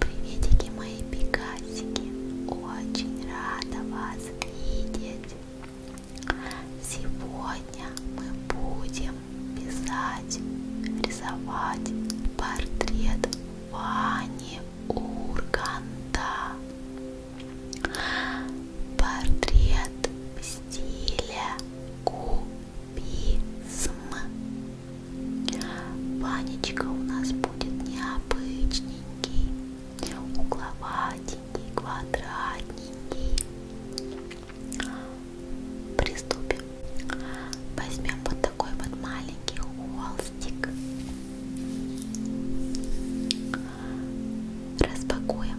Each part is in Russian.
Приветики мои пикасики, очень рада вас видеть. Сегодня мы будем писать, рисовать портрет Вани Урганта. Портрет в стиле кубизм. Ванечка у нас будет необычненький, угловатенький, квадратненький. Приступим. Возьмем вот такой вот маленький холстик. Распакуем.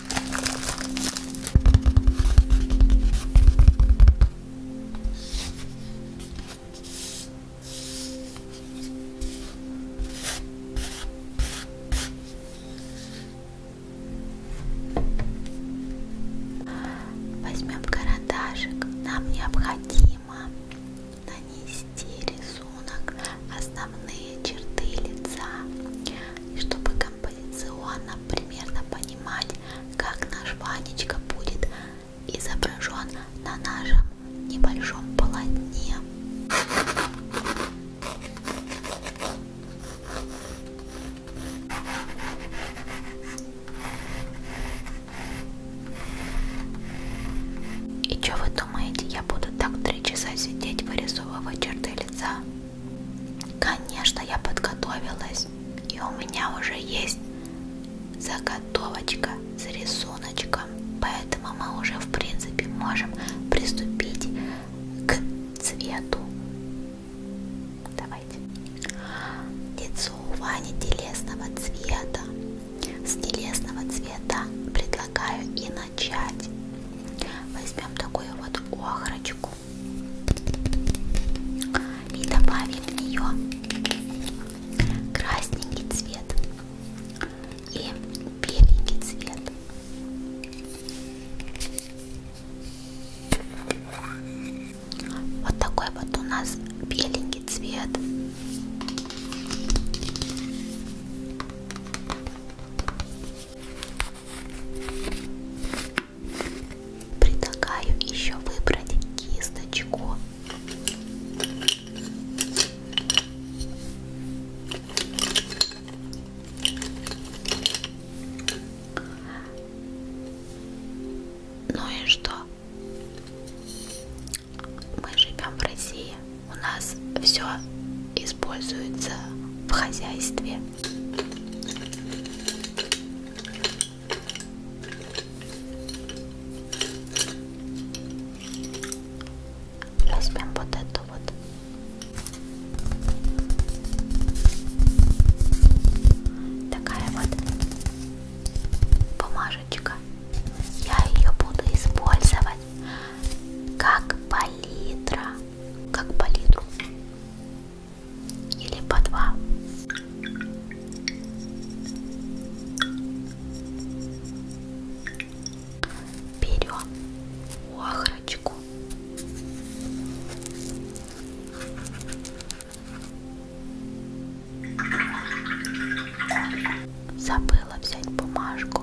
Возьмем карандашик. Нам необходимо нанести рисунок основные черты лица, и чтобы композиционно нам примерно понимать, как наш Ванечка будет изображен на нашем небольшом полотне. И что вы думаете, я буду так три часа сидеть, вырисовывать черты лица? Конечно, я подготовилась, и у меня уже есть заготовочка с рисуночком, поэтому мы уже в принципе можем приступить к цвету. Давайте. Лицо у Вани телесного цвета. С телесного цвета предлагаю и начать. Возьмем такую вот охрочку и добавим в нее красненький цвет и беленький цвет. Вот такой вот у нас беленький цвет. Предлагаю еще выбрать кисточку. Ну и что? Мы живем в России, у нас все используется в хозяйстве. Возьмем вот эту вот. Такая вот бумажечка. Я ее буду использовать как палитра. Как палитру или по два. Берем охрочку. Забыла взять бумажку.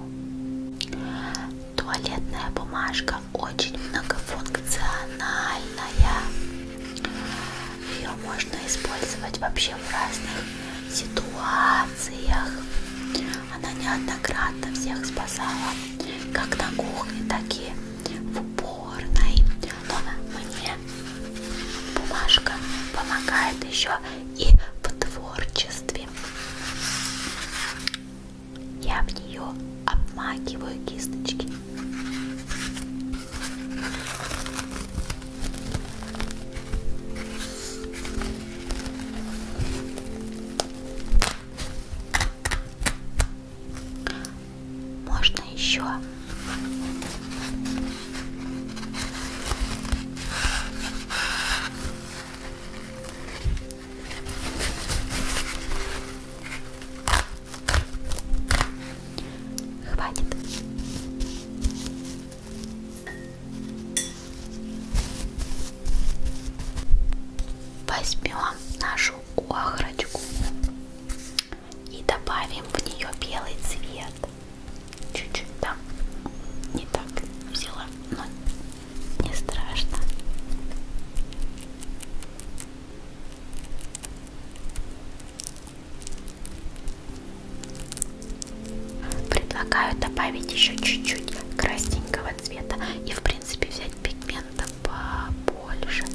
Туалетная бумажка очень многофункциональная. Ее можно использовать вообще в разных ситуациях. Она неоднократно всех спасала, как на кухне, так и в уборной. Но мне бумажка помогает еще и в творчестве. Я в нее обмакиваю кисточки. Можно еще. Хватит. Возьмем нашу охрочку и добавим в нее белый цвет. Чуть-чуть там не так взяла, но не страшно. Предлагаю добавить еще чуть-чуть красненького цвета и в принципе взять пигмента побольше.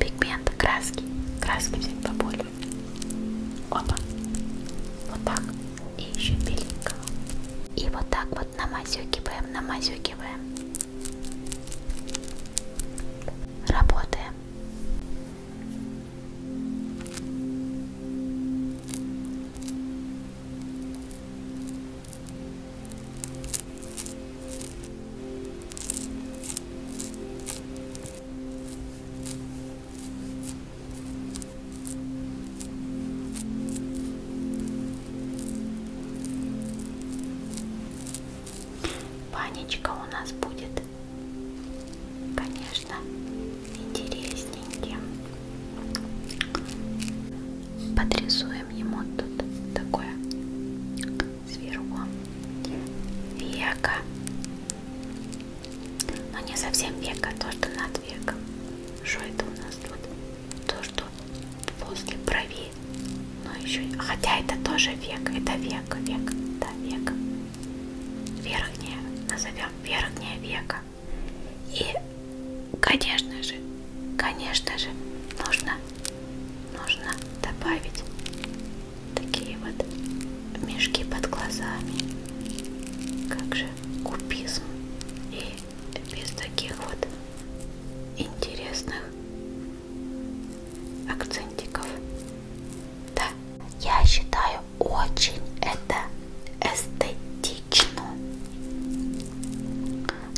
Пигмент, краски, краски взять побольше. Опа, вот так и еще беленького. И вот так вот вот намазюкиваем, намазюкиваем. Работаем. Панечка у нас будет, конечно, интересненьким. Подрисуем ему тут такое сверху века. Но не совсем века, то, что над веком. Что это у нас тут? то, что возле брови, но еще, хотя это тоже век, это век, век, да, век, верхняя, назовем верхняя века. И, конечно же, конечно же, нужно, нужно добавить такие вот мешки под глазами, как же купизм и без таких вот интересных акцентиков. Да, я считаю очень это эстетично.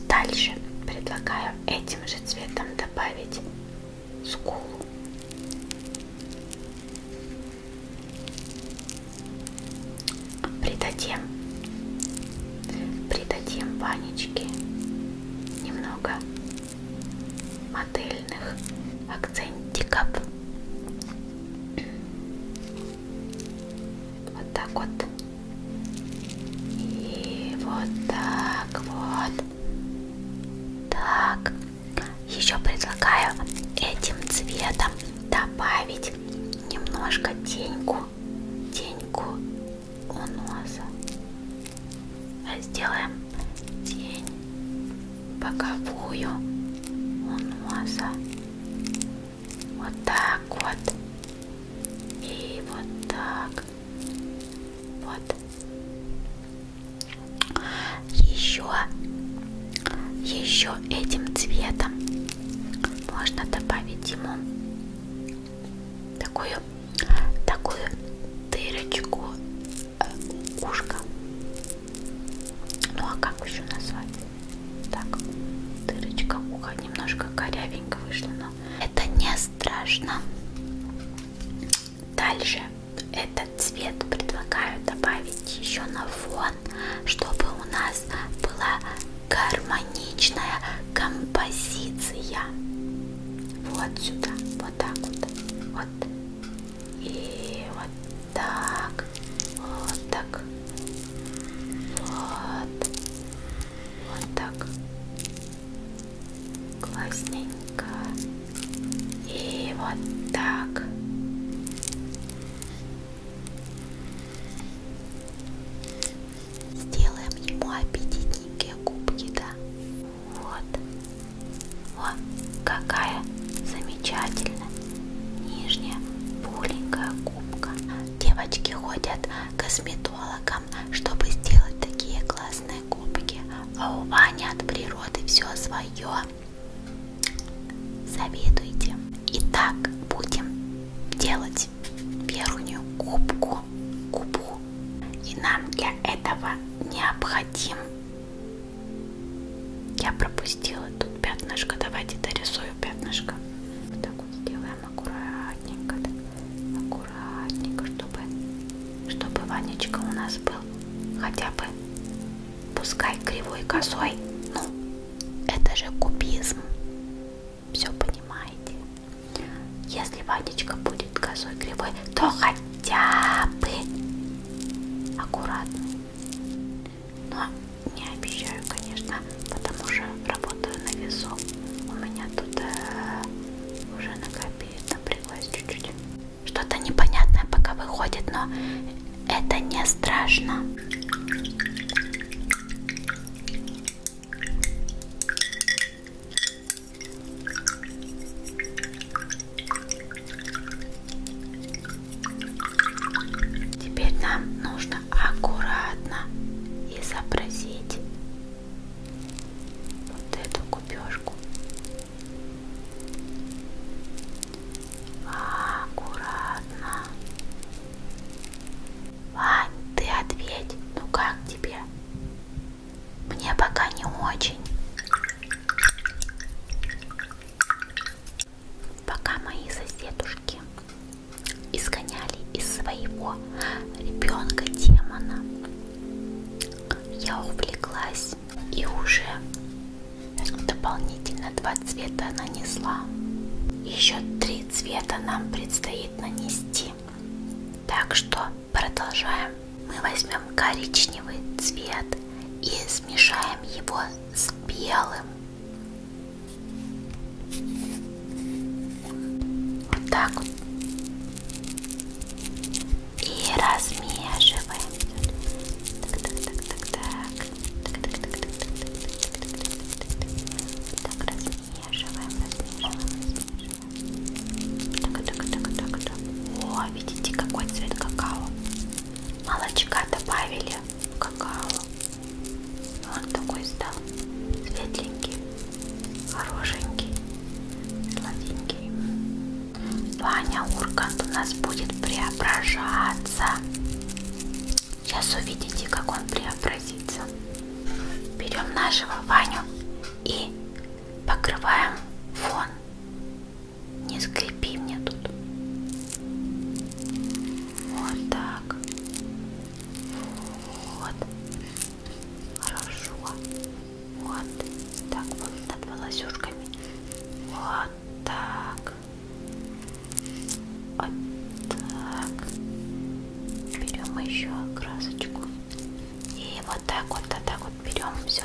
Дальше предлагаю этим же цветом добавить скулу. Придадим, придадим банечке немного модельных акцентиков. Вот так вот. И вот так вот. Так. Еще предлагаю этим цветом добавить немножко теньку теньку у носа. Сделаем тень боковую у носа. Вот так вот. И вот так. Вот. Еще, еще этим цветом можно добавить ему такую такую дырочку э, ушка ну а как еще назвать так дырочка уха немножко корявенько вышло но это не страшно дальше этот цвет предлагаю добавить еще на фон чтобы у нас была гармоничная композиция. Вот сюда, вот так вот, вот. И вот так, вот так, вот, вот так. Классненько. И вот так. Сделаем ему аппетитненькие губки, да? Вот. О, какая замечательная нижняя пухленькая губка. Девочки ходят к косметологам, чтобы сделать такие классные губки. А у Вани от природы все свое. Завидуйте. Итак, будем делать верхнюю губку, губу. И нам для этого необходим... Я пропустила тут пятнышко. Давайте дорисую пятнышко. Вот так вот сделаем аккуратненько. Аккуратненько, чтобы, чтобы Ванечка у нас был хотя бы, пускай кривой косой, ну, это же кубизм. Все понимаете. Если водичка будет косой кривой, то хотя бы аккуратно. Но не обещаю, конечно, потому что работаю на весу. У меня тут э, уже накопит, напряглась чуть-чуть. Что-то непонятное пока выходит, но это не страшно. Теперь нам нужно аккуратно изобразить вот эту купешку. Аккуратно. Вань, ты ответь, ну как тебе? Мне пока не очень. Пока мои соседушки изгоняли из своего ребенка демона, я увлеклась и уже Дополнительно два цвета нанесла. Еще три цвета нам предстоит нанести. Так что продолжаем. Мы возьмем коричневый цвет и смешаем его с белым. Вот так вот. И размешиваем. Так, так, так, так, так. Так, размешиваем, размешиваем, размешиваем. Так, так, так, так, так. О, видите, какой цвет какао. Молочка добавили в какао. Он такой стал светленький, хорошенький, сладенький. Ваня Ургант у нас будет преображаться. Сейчас увидите, как он преобразится. Берем нашего Ваню и покрываем фон. Не скрипи мне тут. Вот так. Вот. Хорошо. Вот. Так вот над волосюшками. Вот так, вот так. Берем еще красочку и вот так вот, вот так вот берем все.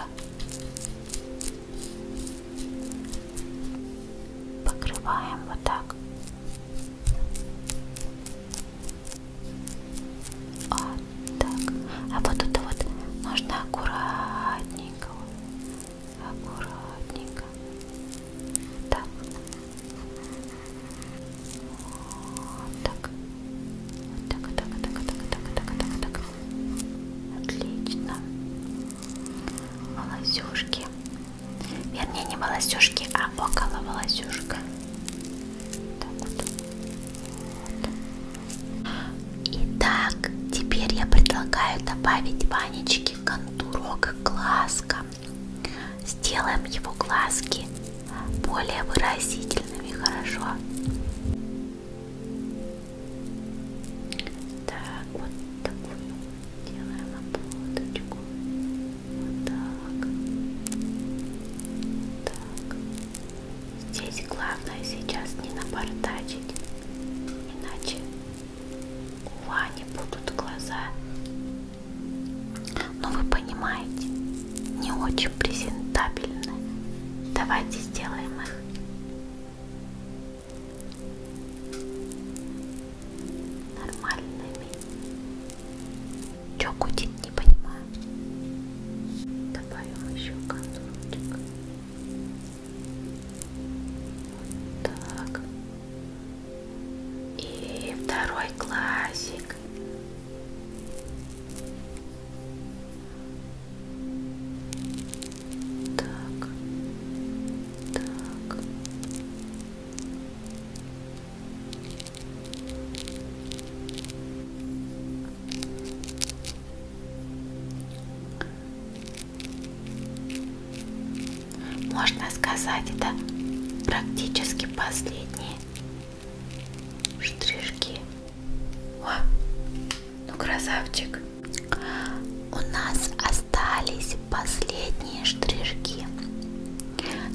Покрываем вот так. Вот так. А вот это вот нужно аккуратненько аккуратненько. Так. Вот так. Вот так, так, так, так, так, так, так, так. Отлично. Волосюшки. Вернее, не волосюшки, а около волосюшка. Так вот. Вот. Итак, теперь я предлагаю добавить Ванечке глазки, контурок глазка. Сделаем его глазки более выразительными, хорошо? Так, вот такую делаем ободочку. Вот так. Так. Здесь главное сейчас не напортачить, иначе у Вани будут глаза, но вы понимаете, не очень презентабельны. Давайте сделаем их. Нормальными. Чё гудит, не понимаю. Добавим еще контурчик. Вот так. И второй классик. Так. Так. Можно сказать, это практически последние штришки. О, ну красавчик. У нас остались последние штришки.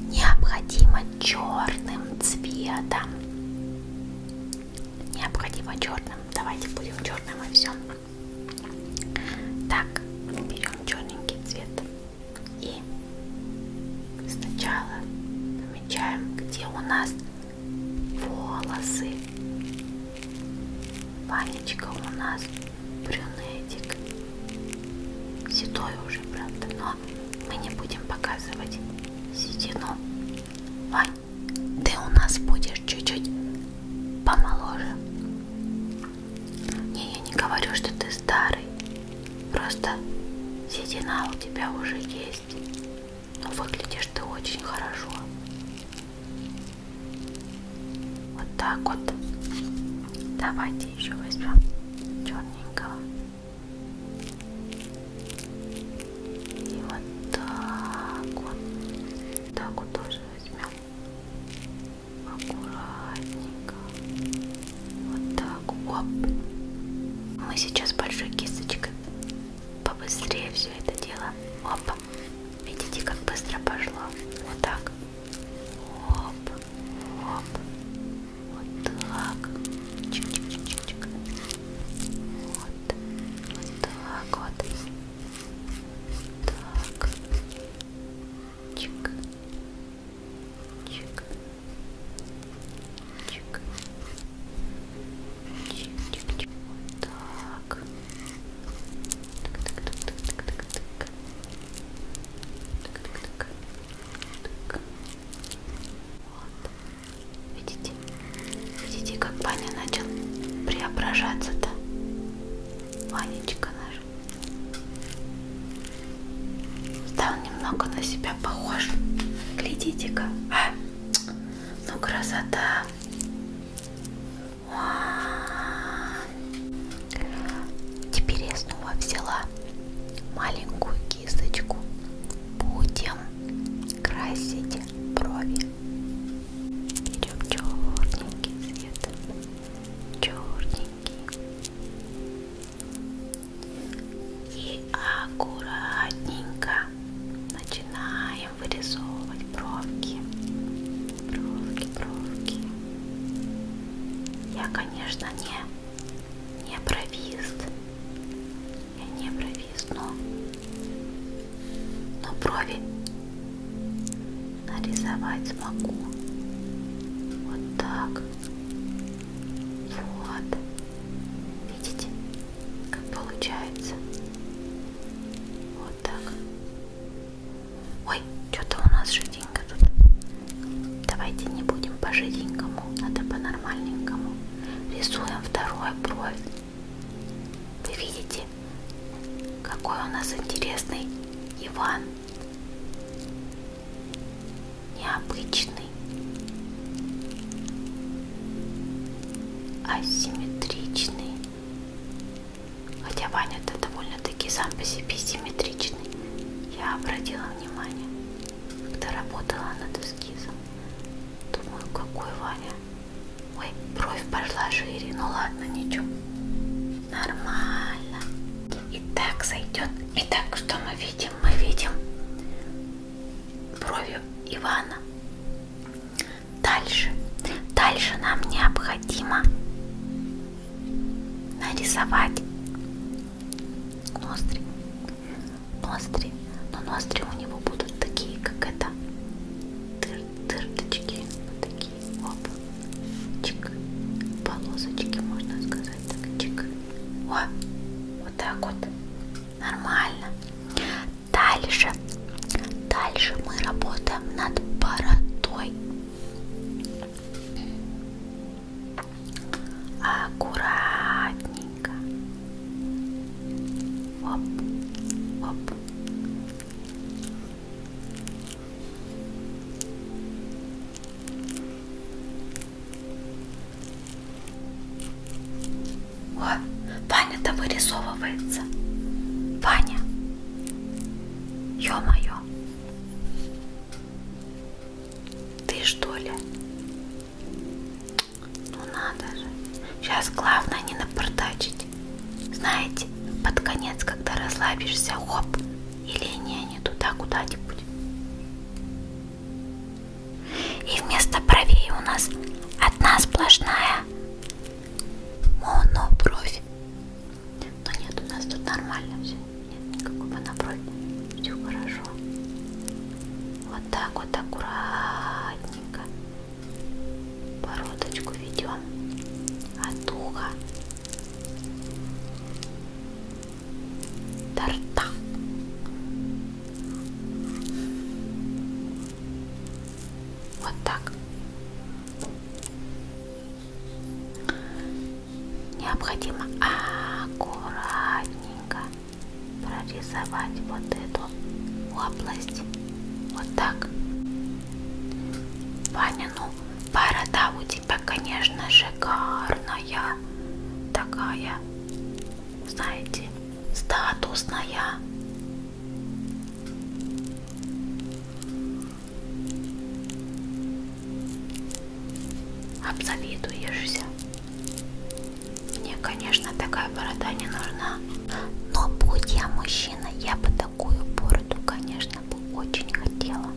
Необходимо черным цветом. Необходимо черным. Давайте будем черным и все. Так, берем черненький цвет и сначала помечаем, где у нас волосы. Ванечка у нас брюнетик. Седой уже, правда, но мы не будем показывать седину. Вань, ты у нас будешь чуть-чуть помоложе. Не, я не говорю, что ты старый, просто седина у тебя уже есть, но ну, выглядишь ты очень хорошо. Вот так вот. Давайте еще возьмем черненького. И вот так вот. Так вот тоже возьмем прям аккуратненько. Вот так. Оп. Мы сейчас большой кисточкой побыстрее все это дело. Оп. Видите, как быстро пошло. Вот так. Оп. Оп. Вот так. Чик -чик -чик -чик. Вот. Вот так вот. Так. Чик. Чик. Чик. Чик-чик-чик. Так. Так-так-так-так-так-так. Так-так-так. Так. Вот. Видите? Видите, как Ваня начал преображаться-то? Ванечка наш. Стал немного на себя похож. Глядите-ка. А? Ну, красота. Теперь я снова взяла маленькую кисточку. Будем красить брови. Берем черненький цвет, черненький. И аккуратненько начинаем вырисовывать бровки. Бровки, бровки. Я, конечно, не, не бровист. Я не бровист вниз, но, но брови нарисовать смогу. Вот так. Вот. Видите, как получается? Вот так. Ой, что-то у нас жиденько тут. Давайте не будем по жиденькому, надо по нормальненькому. Рисуем вторую бровь. Вы видите, какой у нас интересный Иван. Необычный. Асимметричный. Хотя Ваня-то довольно-таки сам по себе симметричный. Я обратила внимание, когда работала над эскизом. Думаю, какой Ваня Ой, бровь пошла шире. Ну ладно, ничего. Нормально. И так сойдет. Итак, что мы видим? Мы видим бровью Ивана. Дальше. Дальше нам необходимо нарисовать ноздри. Ноздри. Но ноздри у него будут такие, как это. Дыр, дырочки, вот такие, оп, чик, полосочки, можно сказать, так, чик, о, вот так вот, нормально. Дальше, дальше мы работаем над боротой. Аккуратненько, Оп, оп. О, Ваня-то вырисовывается. Ваня. Ё-моё. Ты что ли? Ну надо же. Сейчас главное не напортачить. Знаете, под конец, когда расслабишься, хоп, и линия не туда куда-нибудь. И вместо бровей у нас одна сплошная монобровь. Но нет, у нас тут нормально все. Нет никакой моноброви. Все хорошо. Вот так вот аккуратненько Бородочку ведем от уха до рта. Вот так. Необходимо аккуратненько прорисовать вот эту область вот так Ваня, ну борода у тебя конечно шикарная такая знаете статусная обзавидуешься мне, конечно, такая борода не нужна. Но будь я мужчина, я бы такую бороду, конечно, бы очень хотела.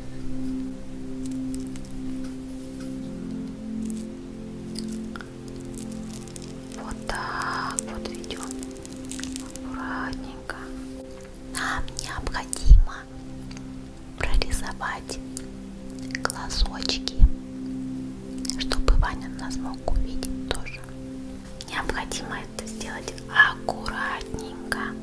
Вот так вот ведем. Аккуратненько. Нам необходимо прорисовать глазочки, чтобы Ваня нас мог увидеть тоже. Необходимо это сделать аккуратненько. Итак,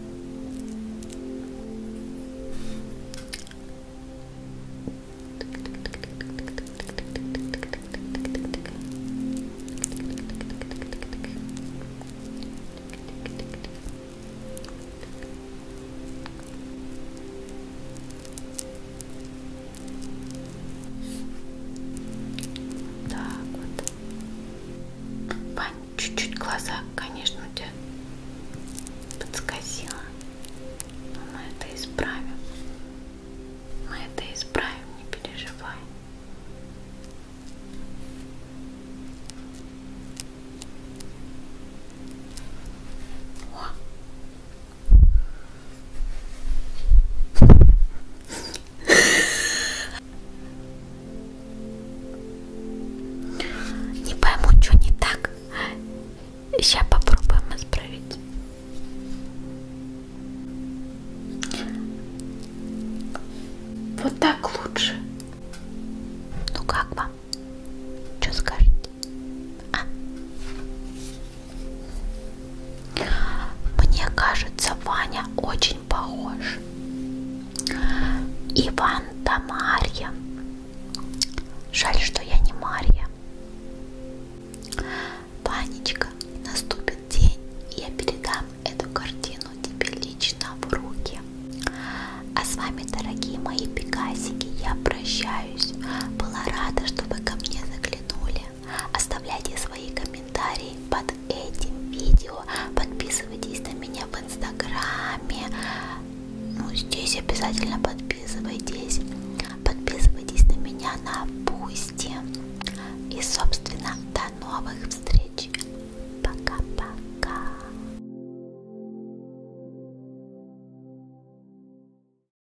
так вот. Вань, чуть-чуть глаза, конечно, у тебя подскосило. Но мы это исправим. Мы это исправим, не переживай. О, не пойму, что не так. Сейчас попробуем исправить. Вот так лучше. Ну как вам? Что скажете? А? Мне кажется, Ваня очень похож. Иван да Марья. Жаль, что я не Марья. Ванечка, наступит день, и я передам эту картину тебе лично в руки. А с вами, дорогие мои пегасики, я прощаюсь. Была рада, что вы ко мне заглянули. Оставляйте свои комментарии под этим видео. Подписывайтесь на меня в инстаграме. Ну, здесь обязательно подписывайтесь. Подписывайтесь на меня на Бусти. И, собственно, до новых встреч. Пока-пока.